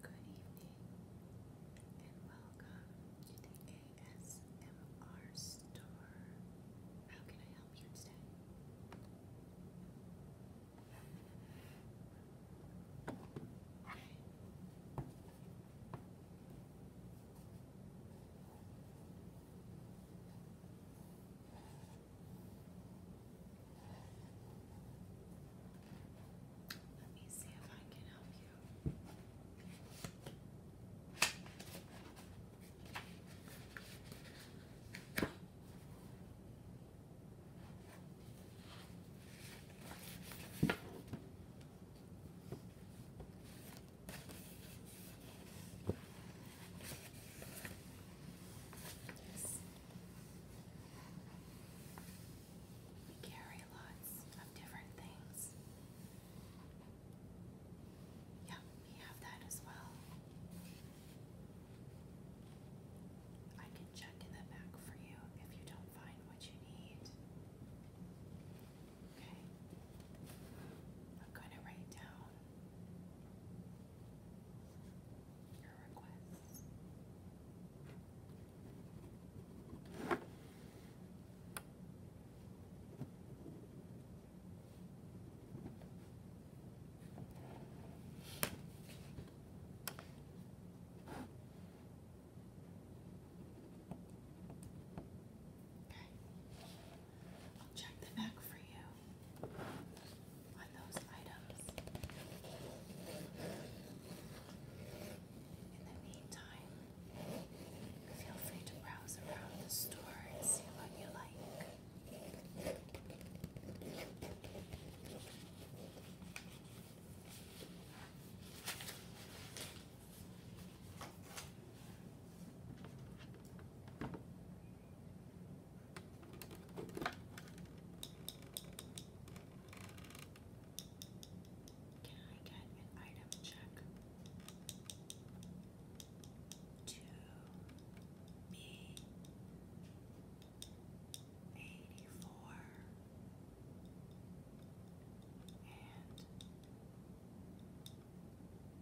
Good evening and welcome to the ASMR store. How can I help you today? Let me see if I can help you. We carry lots of different things. Yeah, we have that as well. I can check in the back for you if you don't find what you need. Okay. I'm going to write down your I'll check the back for you on those items. In the meantime, feel free to browse around the store and see what you like. Can I get an item check to be eighty four and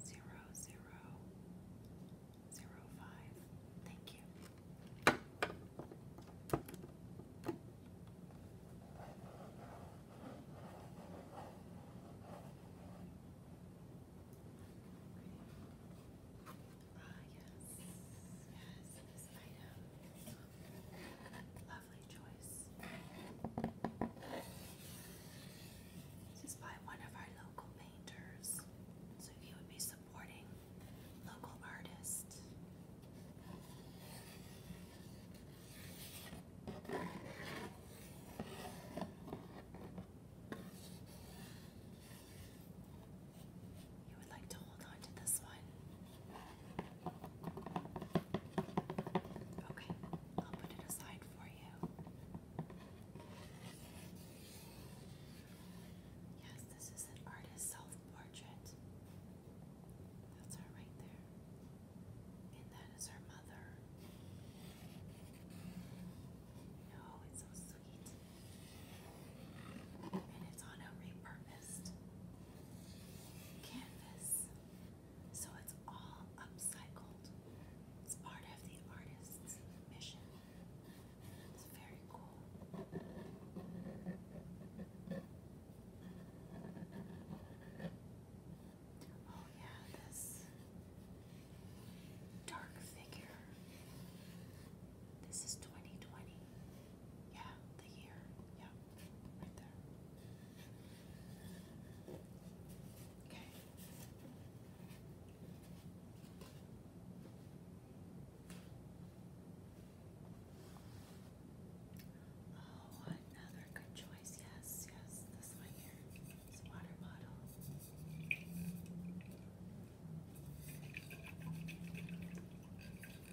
zero zero zero five. Thank you. Ah, yes, yes, this item. Lovely choice. This is by one of our local painters. So you would be supporting local artists. You would like to hold on to this one. Okay, I'll put it aside for you. Yes, this is an artist self-portrait. That's her right there. And that is her mother. Oh, it's so sweet. And it's on a repurposed canvas. So it's all upcycled. It's part of the artist's mission it's very cool. Oh, yeah, this dark figure. This is 2020. Yeah, the year. Yeah, right there. Okay. Oh, another good choice. Yes, yes, this one here. This water bottle.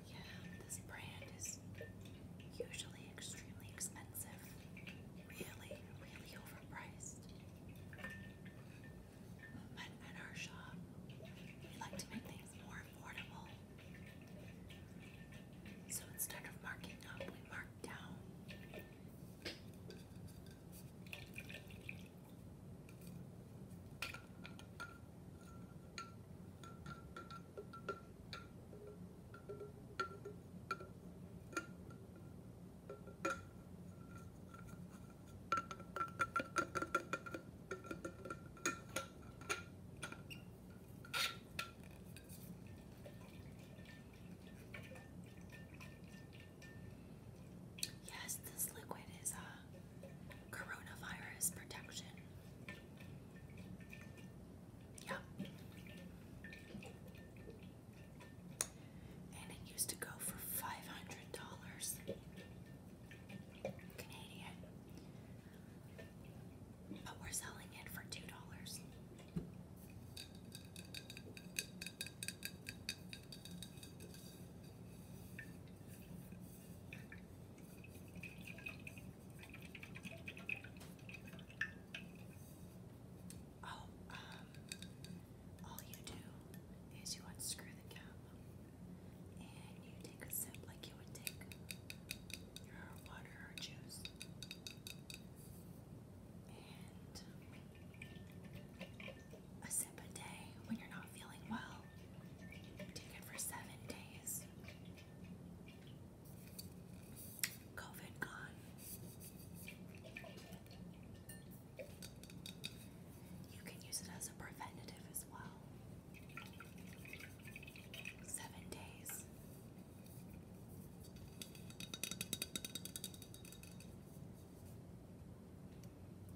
Yeah, this brand is usually extremely expensive. Really, really overpriced. But at our shop, we like to make things more affordable. So instead of marking up, we mark down. Yes, this liquid is a uh, coronavirus protection. Yeah and it used to go for five hundred dollars Canadian, but we're selling it for two dollars. Oh, um, all you do is you unscrew the cap and you take a sip like you would take your water or juice. And a sip a day when you're not feeling well. Take it for seven days. COVID gone. You can use it as a preventative as well. Seven days.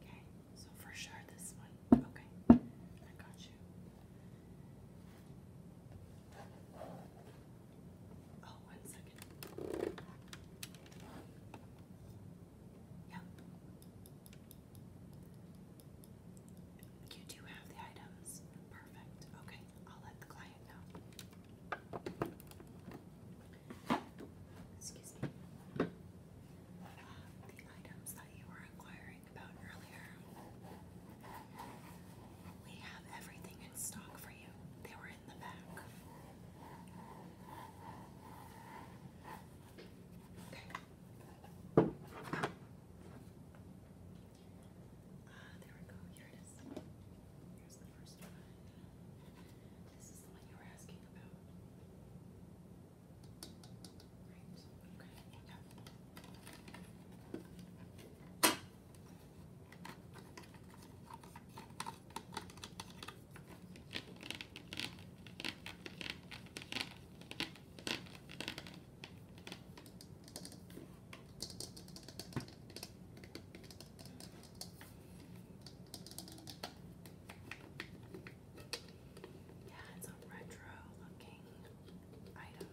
Okay, so for sure this one. Okay, I got you. Oh, one second. Yep. You do have the items. Perfect. Okay, I'll let the client know. Excuse me. Uh, the items that you were inquiring about earlier. We have everything in stock for you. They were in the back. Okay. Uh, there we go. Here it is. Here's the first one. This is the one you were asking about. Right. Okay. Yeah, it's a retro looking item.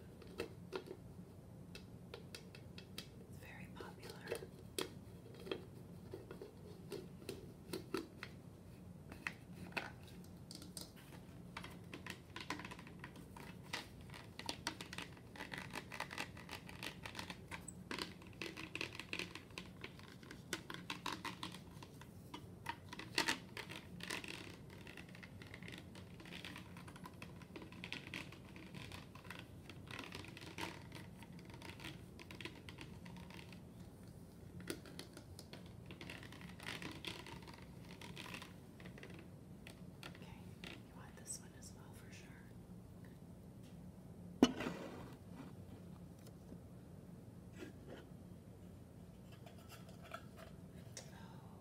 It's very popular. Okay, you want this one as well for sure.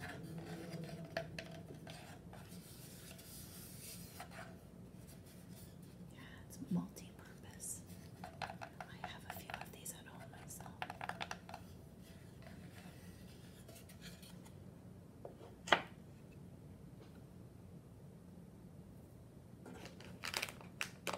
Yeah, it's multi-purpose. I have a few of these at home myself.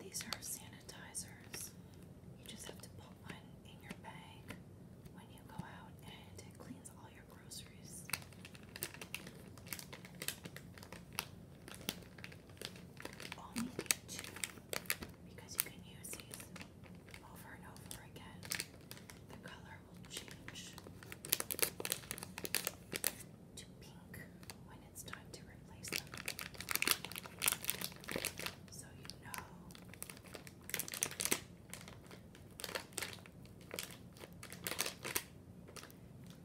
These are sanitizers. You just have to put one in your bag when you go out, and it cleans all your groceries. Only two because you can use these over and over again. The color will change to pink when it's time to replace them. So you know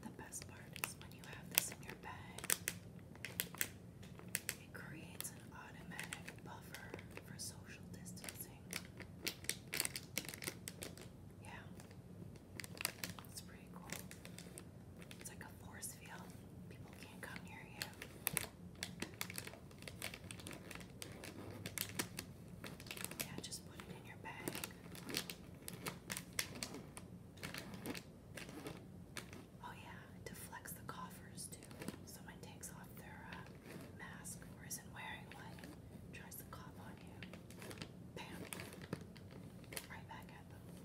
the best part is when you have this in your bag, it creates an automatic buffer for social distancing. Yeah. It's pretty cool. It's like a force field. People can't come near you. Yeah, just put it in your bag. Oh yeah, deflects the coffers too. Someone takes off their uh, mask or isn't wearing one, tries to cough on you. Bam! Right back at them.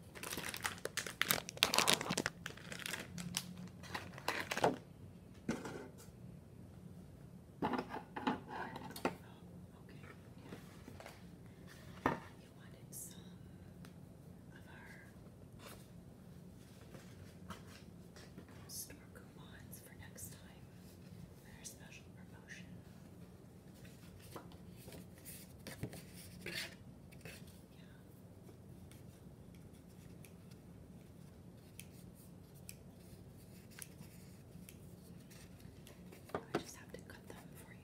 You wanted some of our store coupons for next time, our special promotion. Yeah. I just have to cut them for you.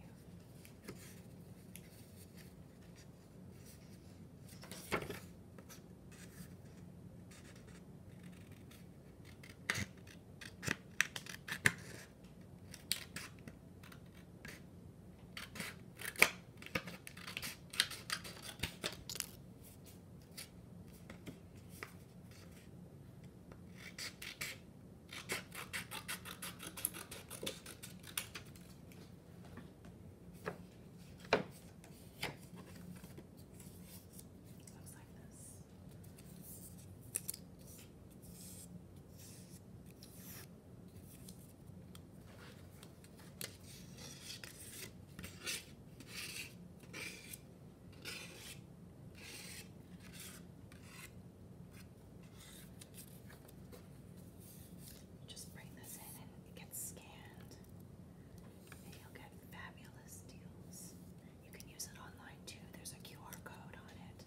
Looks like this. Just bring this in and it scanned, and you'll get fabulous deals. You can use it online too, there's a QR code on it.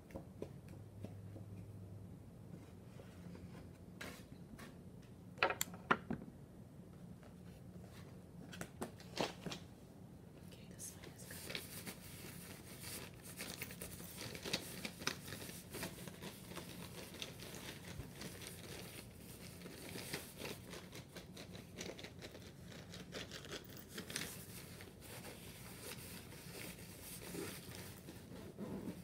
Okay, this one is good.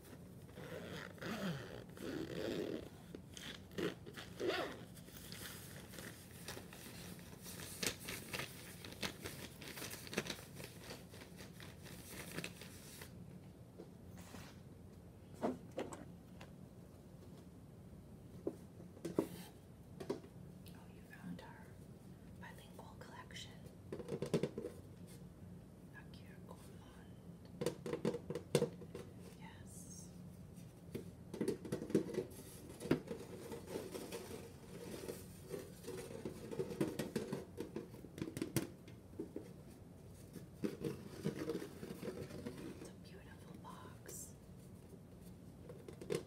Oh, you found our bilingual collection. Aqui a gourmand. Yes. It's a beautiful box. Yes.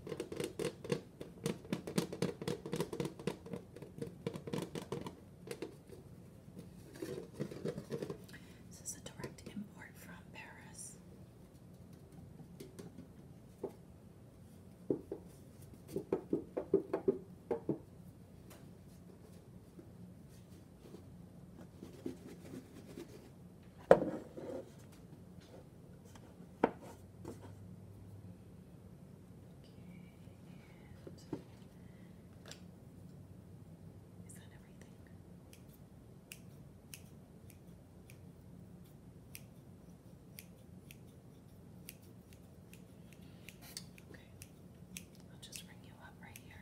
This is a direct import from Paris. And is everything? Okay, I'll just bring you up right here.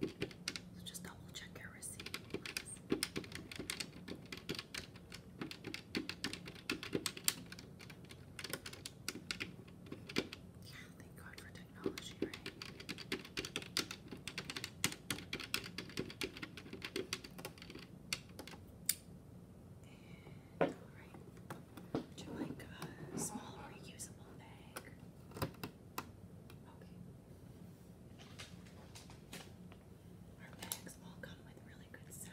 So just double check your receipt. thank God for technology, right? all right. Would like a small reusable bag? Our bags all come with really good sounds.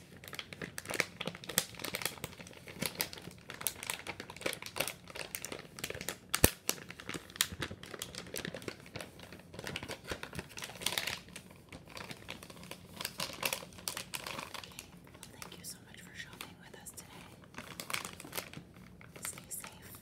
thank you so much for shopping with us today. Stay safe.